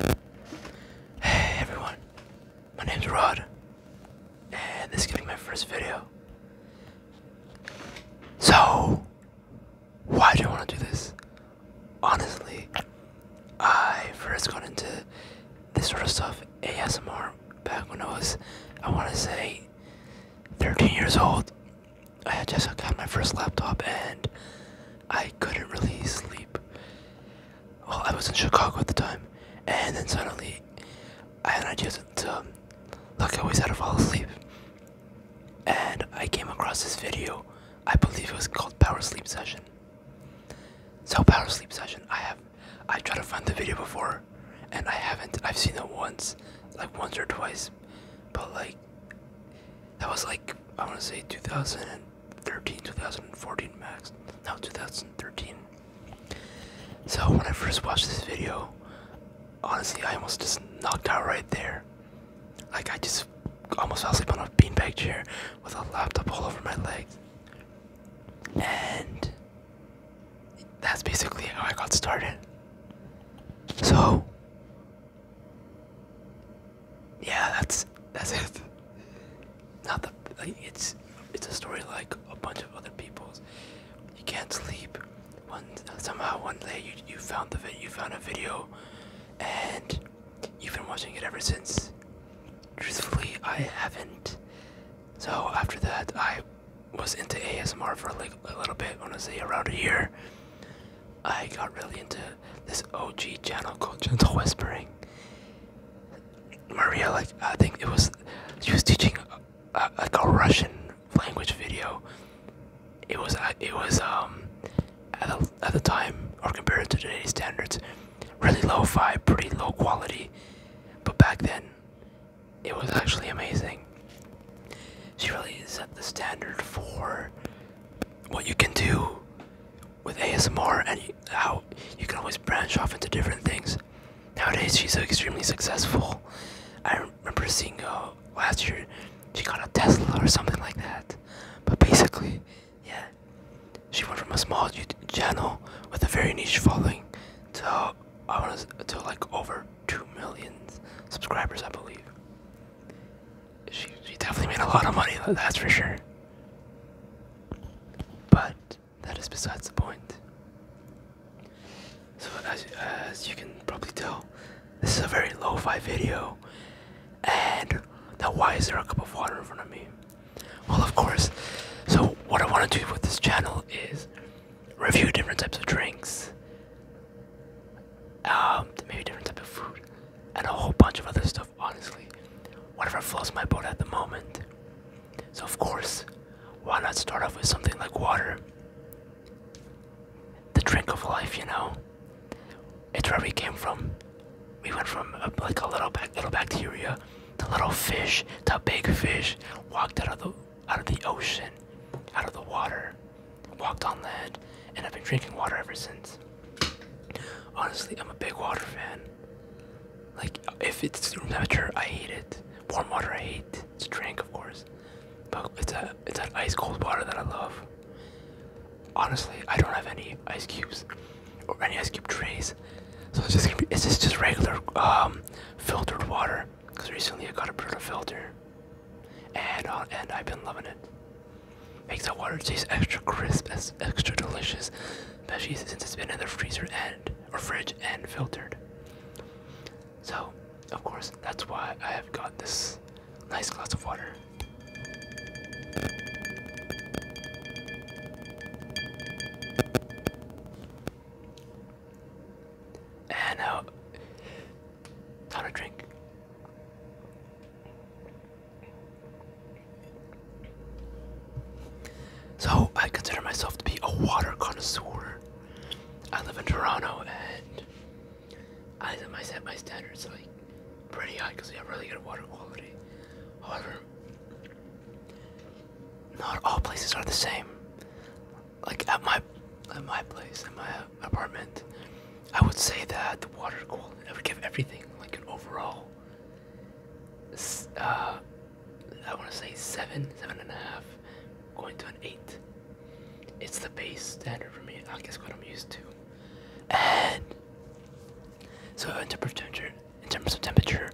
Hey everyone, my name is Rod, and this is gonna be my first video. So, why do I want to do this? Honestly, I first got into this sort of stuff ASMR back when I was, I want to say, 13 years old. I had just got my first laptop and I couldn't really sleep. Well, I was in Chicago at the time, and then suddenly I had an idea to um, look at ways how to fall asleep. And I came across this video. I believe it was called Power Sleep Session. So Power Sleep Session, I have I tried to find the video before, and I haven't. I've seen it once, like once or twice, but like that was like I want to say 2013, 2014 max. Now 2013. So when I first watched this video, honestly, I almost just knocked out right there. Like I just almost fell asleep on a beanbag chair with a laptop all over my legs. And that's basically how I got started. So yeah, that's that's it. Not the it's it's a story like a bunch of other people's. You can't sleep. One somehow one day you you found the you found a video, and you've been watching it ever since. Truthfully, I haven't. So after that, I was into ASMR for like a little bit, honestly, around a year. I got really into this OG channel called Gentle Whispering. Maria, like, I think it was, she was teaching like a Russian language video. It was, uh, it was, um, at the, at the time, or compared to today's standards, really low-fi, pretty low quality. But back then, it was actually amazing. She really set the standard for what you can do with ASMR and how you can always branch off into different things. Nowadays, she's extremely successful. I remember seeing uh, last year she got a Tesla or something like that. But basically, yeah, she went from a small YouTube channel with a very niche following to I want to like over two million subscribers, I believe. She she definitely made a lot of money, that's for sure. But that is besides the point. So as as you can probably tell, this is a very low fi video. And now why is there a cup of water in front of me? Well, of course. So what I want to do with this channel is review different types of drinks, um, maybe different type of food, and a whole bunch of other stuff. Honestly, whatever flows my boat at the moment. So of course, why not start off with something like water? The drink of life, you know. It's where we came from. We went from uh, like a little little bacteria, to little fish, to big fish. Walked out of the out of the ocean, out of the water, walked on land, and I've been drinking water ever since. Honestly, I'm a big water fan. Like, if it's room temperature, I hate it. Warm water, I hate. It's drink, of course. But it's, a, it's that ice cold water that I love. Honestly, I don't have any ice cubes or any ice cube trays. So it's just it's just, just regular um, filtered water because recently I got a Brita filter, and uh, and I've been loving it. Makes the water taste extra crisp, as extra delicious, especially since it's been in the freezer and or fridge and filtered. So, of course, that's why I have got this nice glass of water. And now, uh, time to drink. So, I consider myself to be a water connoisseur. I live in Toronto and I set my standards like pretty high because we have really good water quality. However, not all places are the same. Like at my at my place, at my apartment, I would say that the water quality. I would give everything like an overall. Uh, I want to say seven, seven and a half, going to an eight. It's the base standard for me. I guess what I'm used to. And so I went to Pretender, in terms of temperature.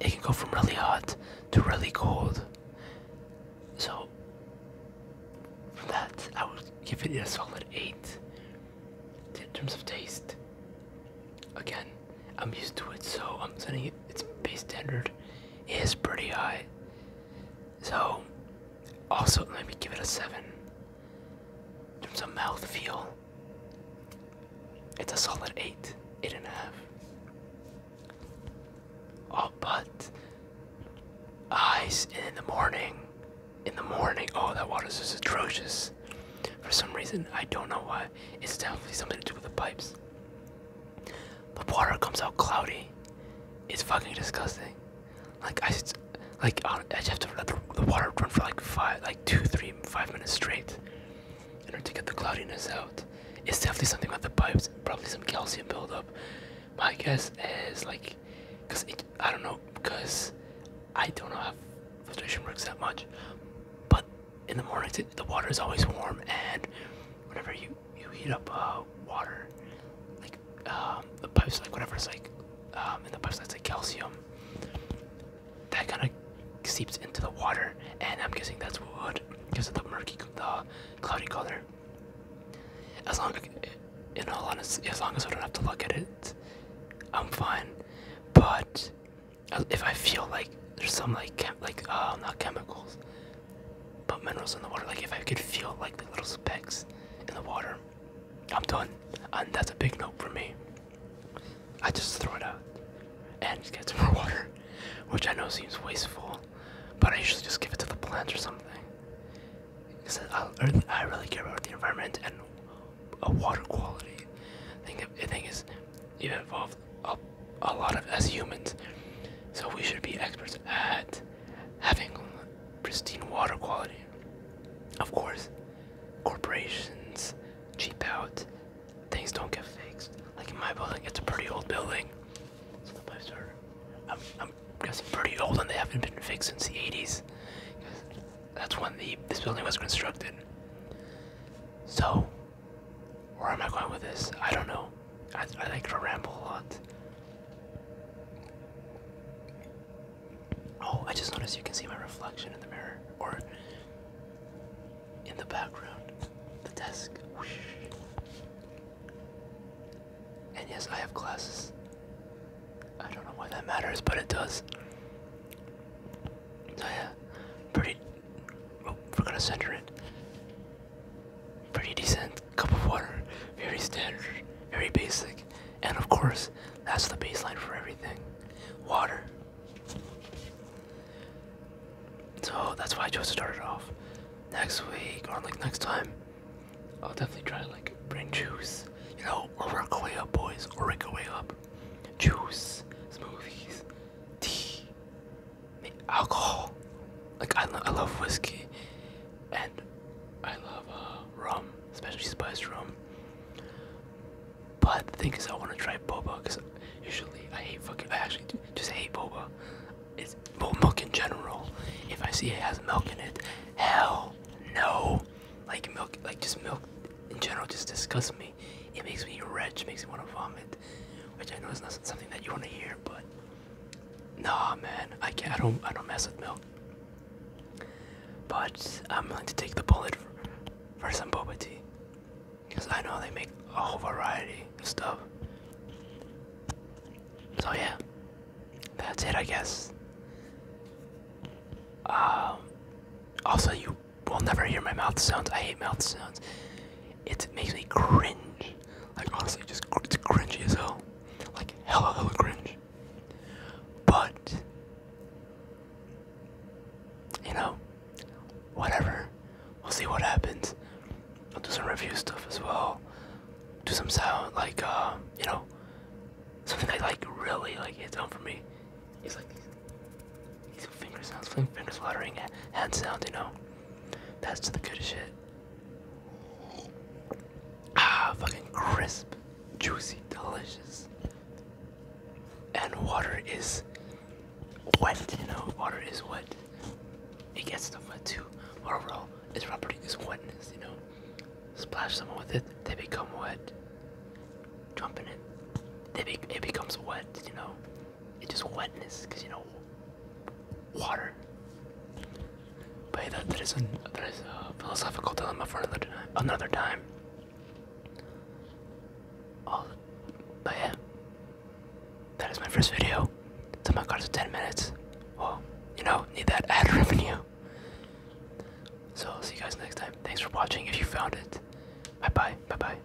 It can go from really hot to really cold. So, for that, I would give it a solid 8. In terms of taste, again, I'm used to it, so I'm setting it, its base standard is pretty high. So, also, let me give it a 7. In terms of mouth feel. It's a solid eight, eight and a half. Oh, but ice in the morning, in the morning. Oh, that water's just atrocious. For some reason, I don't know why. It's definitely something to do with the pipes. The water comes out cloudy. It's fucking disgusting. Like I, like I just have to let the water run for like five, like two, three, five minutes straight in order to get the cloudiness out. It's definitely something with the pipes, probably some calcium buildup. My guess is like, cause I don't know, cause I don't know how filtration works that much. But in the mornings, the water is always warm, and whenever you you heat up uh, water, like um, um, the pipes, like it's like in the pipes, that's like calcium that kind of seeps into the water, and I'm guessing that's what would because of the murky, the cloudy color. As long, in all honesty, as long as I don't have to look at it, I'm fine. But uh, if I feel like there's some like like uh, not chemicals, but minerals in the water, like if I could feel like the little specks in the water, I'm done, and that's a big note for me. I just throw it out and get some more water, which I know seems wasteful, but I usually just give it to the plants or something. Because I, really care about the environment and uh, water quality. I think the thing is, you involve a, a lot of as humans, so we should be experts at having pristine water quality. Of course, corporations cheap out. Things don't get fixed. Like in my building, it's a pretty old building. the pipes are, I'm, I'm guessing, pretty old, and they haven't been fixed since the '80s. That's when the this building was constructed. So, where am I going with this? I don't know. I, I like to ramble a lot. Oh, I just noticed you can see my reflection in the mirror or in the background, the desk. And yes, I have glasses. I don't know why that matters, but it does. So yeah, pretty. Oh, we're gonna center it. Pretty decent cup of water, very standard, very basic, and of course, that's the baseline for everything water. So that's why I chose to start it off. Next week or like next time, I'll definitely try to like bring juice. You know, or work way up, boys, or work way up. Juice, smoothies, tea, alcohol. Like I, I love whiskey I love uh, rum, especially spiced rum. But the thing is, I want to try boba because usually I hate fucking. I actually just hate boba. It's well, milk in general. If I see it has milk in it, hell no. Like milk, like just milk in general just disgusts me. It makes me retch. makes me want to vomit, which I know is not something that you want to hear, but no, man, I can't. I don't. I don't mess with milk. But I'm willing to take the bullet for, some boba tea. Because I know they make a whole variety of stuff. So yeah, that's it I guess. Um, also, you will never hear my mouth sounds. I hate mouth sounds. It makes me cringe. Like honestly, just it's cringy as hell. Like hella hella cringe. But, you know, whatever. We'll see what happens. I'll do some review stuff as well. Do some sound, like, uh, you know, something I like really, like, hits home for me. It's like these, these finger sounds, finger fluttering, hands sounds, you know. That's the good shit. Ah, fucking crisp, juicy, delicious. And water is wet, you know, water is wet. It gets stuff wet too. Overall, its property is wetness, you know. Splash someone with it, they become wet. Jump in it, they it becomes wet, you know. It's just wetness, because you know, water. But that, that, is, a, philosophical dilemma for another, time. but yeah, that is my first video. It's my car to 10 minutes. Well, you know, need that ad revenue. So I'll see you guys next time. Thanks for watching if you found it. Bye bye. Bye bye.